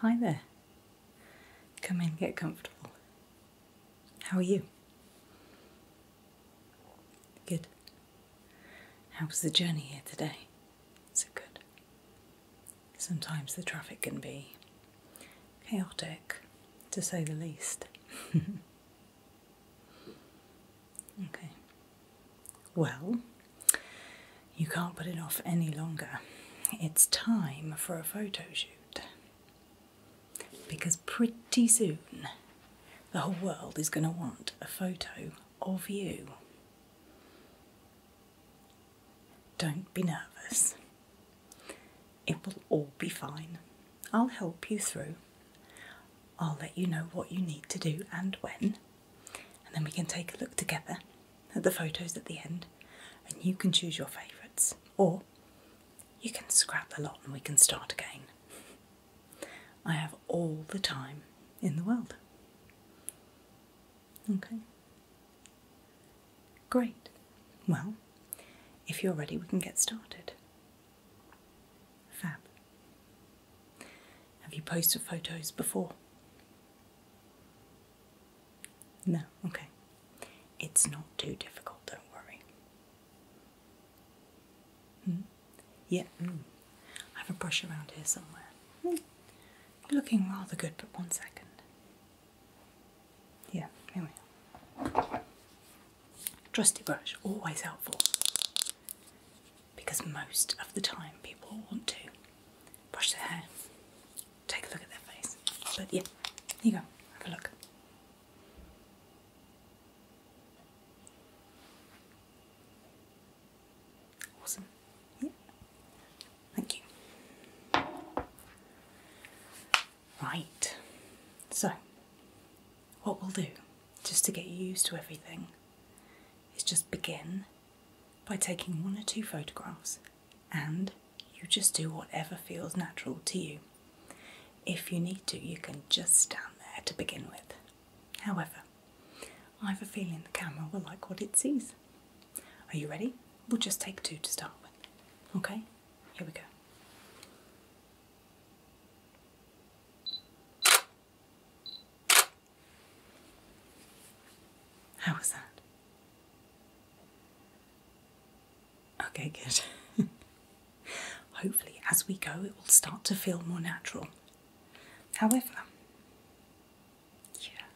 Hi there. Come in, get comfortable. How are you? Good. How was the journey here today? So good. Sometimes the traffic can be chaotic, to say the least. okay. Well, you can't put it off any longer. It's time for a photo shoot. Because pretty soon the whole world is going to want a photo of you. Don't be nervous. It will all be fine. I'll help you through. I'll let you know what you need to do and when and then we can take a look together at the photos at the end and you can choose your favourites or you can scrap a lot and we can start again. I have all the time in the world. Okay. Great. Well, if you're ready, we can get started. Fab. Have you posted photos before? No, okay. It's not too difficult, don't worry. Hmm? Yeah, mm. I have a brush around here somewhere. Mm. You're looking rather good, but one second. Yeah, here we are. Trusty brush, always helpful because most of the time people want to brush their hair, take a look at their face. But yeah, there you go, have a look. Awesome. Yeah. Thank you. Right. So, what we'll do, just to get you used to everything, is just begin by taking one or two photographs and you just do whatever feels natural to you. If you need to, you can just stand there to begin with. However, I have a feeling the camera will like what it sees. Are you ready? We'll just take two to start with. Okay, here we go. How was that? Okay, good. Hopefully, as we go, it will start to feel more natural. However, yeah,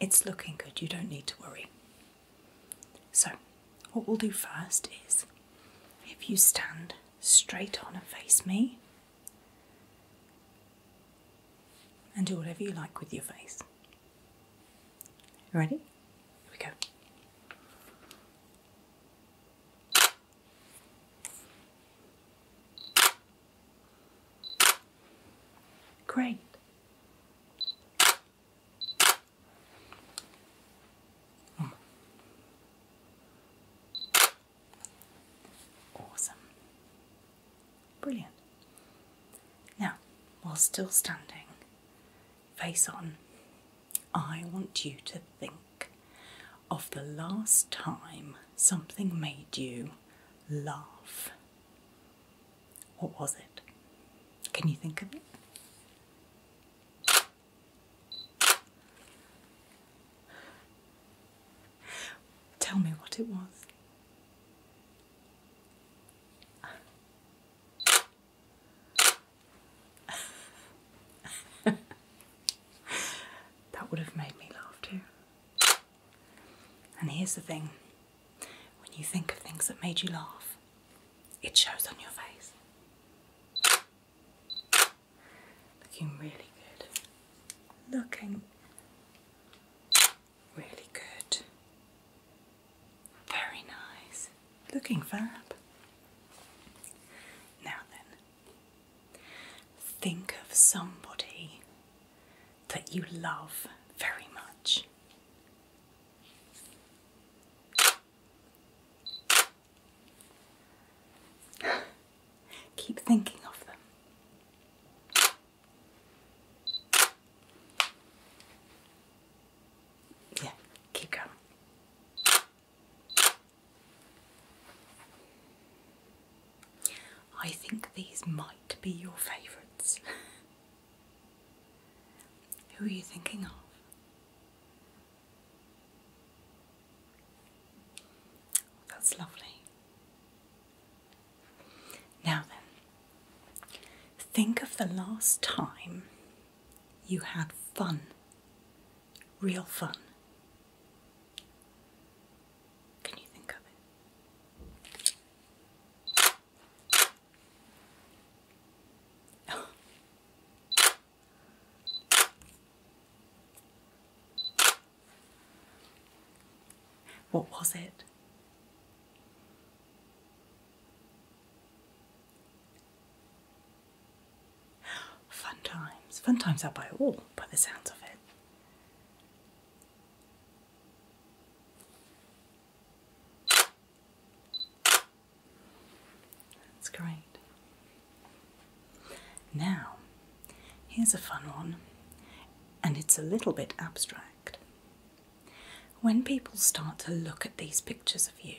it's looking good, you don't need to worry. So, what we'll do first is if you stand straight on and face me. And do whatever you like with your face. Ready? Here we go. Great. Oh. Awesome. Brilliant. Now, while still standing, face on, I want you to think of the last time something made you laugh. What was it? Can you think of it? Tell me what it was. that would have made me laugh too. And here's the thing when you think of things that made you laugh, it shows on your face. Looking really good. Looking really good. Very nice. Looking fab. Now then, think of somebody that you love very much. Keep thinking of them. Yeah, keep going. I think these might be your favourites. Who are you thinking of? That's lovely. Now then, think of the last time you had fun, real fun. Can you think of it? What was it? Fun times. Fun times are by all, by the sounds of it. That's great. Now, here's a fun one, and it's a little bit abstract. When people start to look at these pictures of you,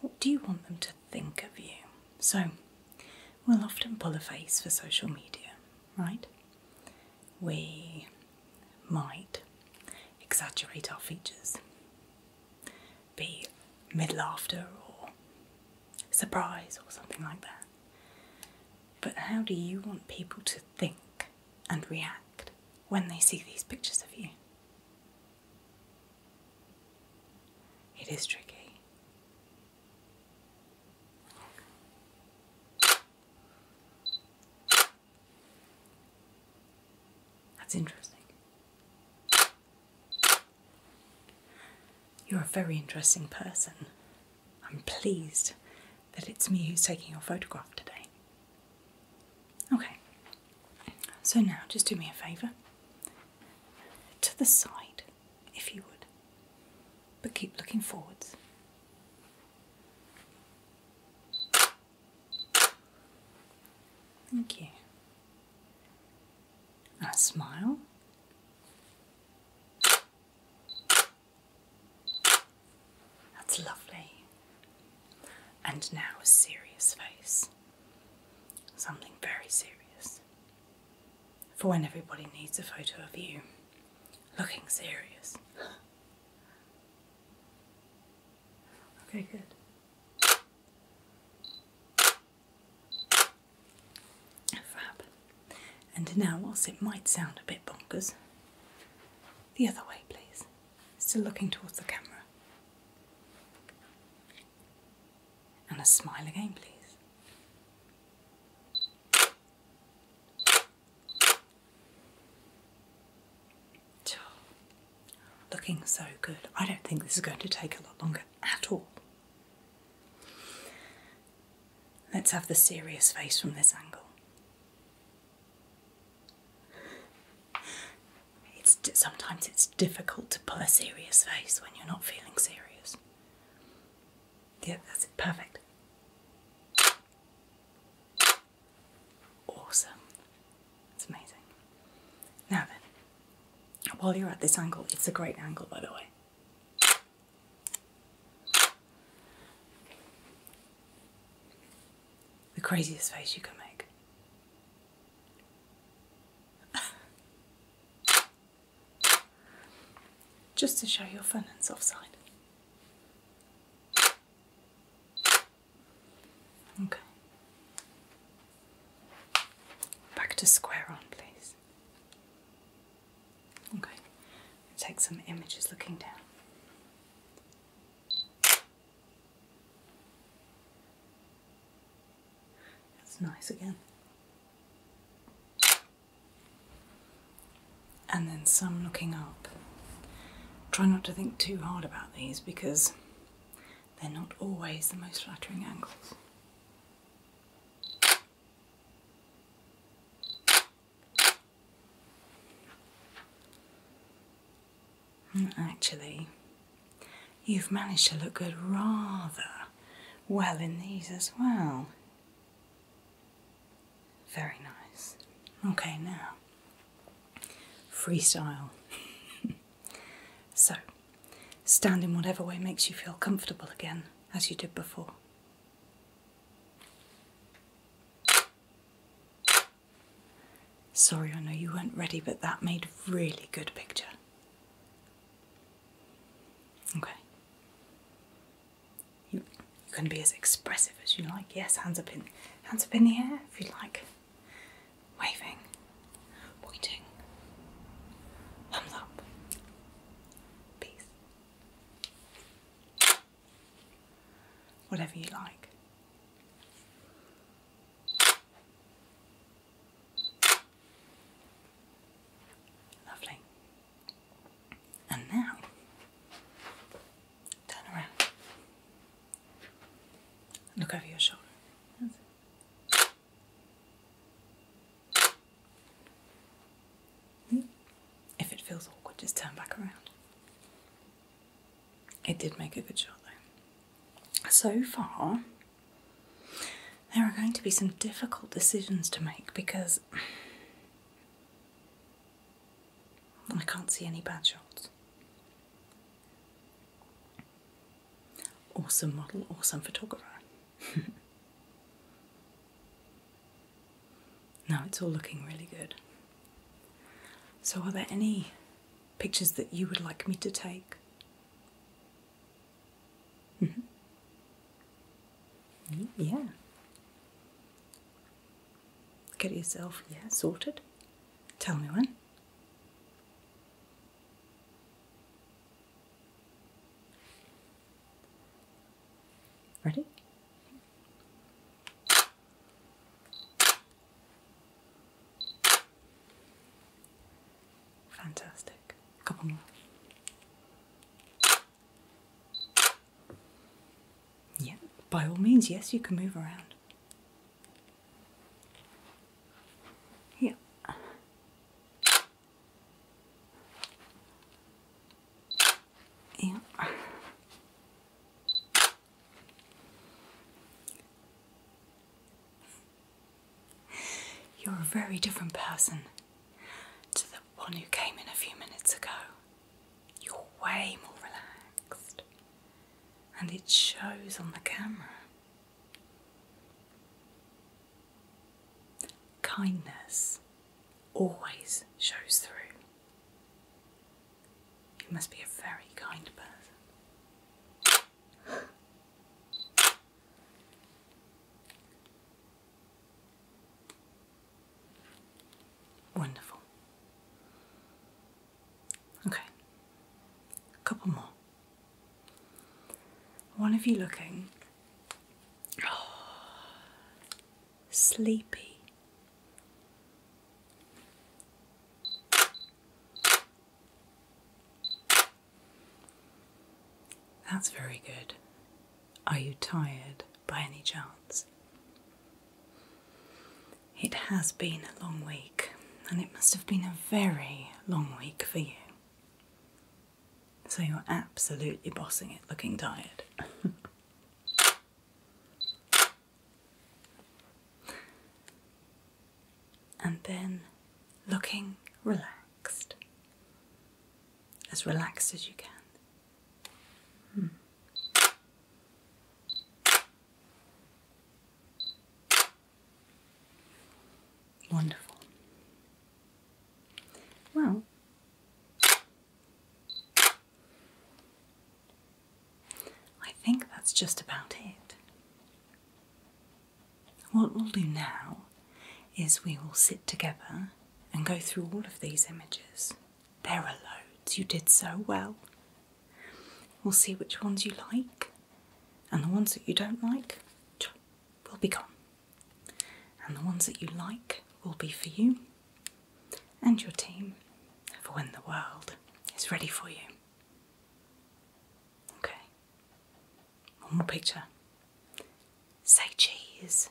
what do you want them to think of you? So, we'll often pull a face for social media, right? We might exaggerate our features be mid laughter or surprise or something like that. But how do you want people to think and react when they see these pictures of you? It is tricky. That's interesting. You're a very interesting person. I'm pleased that it's me who's taking your photograph today. Okay, so now just do me a favour. To the side, if you would, but keep looking forwards. Thank you. a smile. That's lovely. And now a serious face. Something very serious. For when everybody needs a photo of you looking serious. Okay, good. Fab. And now, whilst it might sound a bit bonkers, the other way, please. Still looking towards the camera. And a smile again, please. Looking so good. I don't think this is going to take a lot longer at all. Let's have the serious face from this angle. It's sometimes it's difficult to pull a serious face when you're not feeling serious. Yeah, that's it. Perfect awesome. It's amazing. Now then, while you're at this angle, it's a great angle by the way. The craziest face you can make. Just to show your fun and soft side. Okay. Back to square on, please. Okay. Take some images looking down. That's nice again and then some looking up. Try not to think too hard about these because they're not always the most flattering angles. Mm, actually, you've managed to look good rather well in these as well. Very nice. Okay, now freestyle. so stand in whatever way makes you feel comfortable again, as you did before. Sorry, I know you weren't ready, but that made a really good picture. Okay. You, can be as expressive as you like. Yes, hands up in, hands up in the air if you like. Waving, pointing, thumbs up. Peace. Whatever you like. Lovely. And now Turn around. Look over your shoulder. If it feels awkward, just turn back around. It did make a good shot though. So far, there are going to be some difficult decisions to make because I can't see any bad shots. Awesome model, awesome photographer. now it's all looking really good. So, are there any pictures that you would like me to take? Yeah. Get yourself, yeah, sorted. Tell me when. Ready? Fantastic. A couple more. Yeah, by all means, yes, you can move around. Yeah. Yeah. You're a very different person to the one who came in a few minutes ago you're way more relaxed, and it shows on the camera. Kindness always shows through. You must be a very kind person. Wonderful. Okay, a couple more. One of you looking sleepy. That's very good. Are you tired? by any chance? It has been a long week, and it must have been a very long week for you. So you're absolutely bossing it, looking tired. and then looking relaxed, as relaxed as you can. Hmm. Wonderful. Well, I think that's just about it. What we'll do now is we will sit together and go through all of these images. There are loads, you did so well. We'll see which ones you like, and the ones that you don't like will be gone. And the ones that you like will be for you and your team for when the world is ready for you. Okay, one more picture. Say cheese.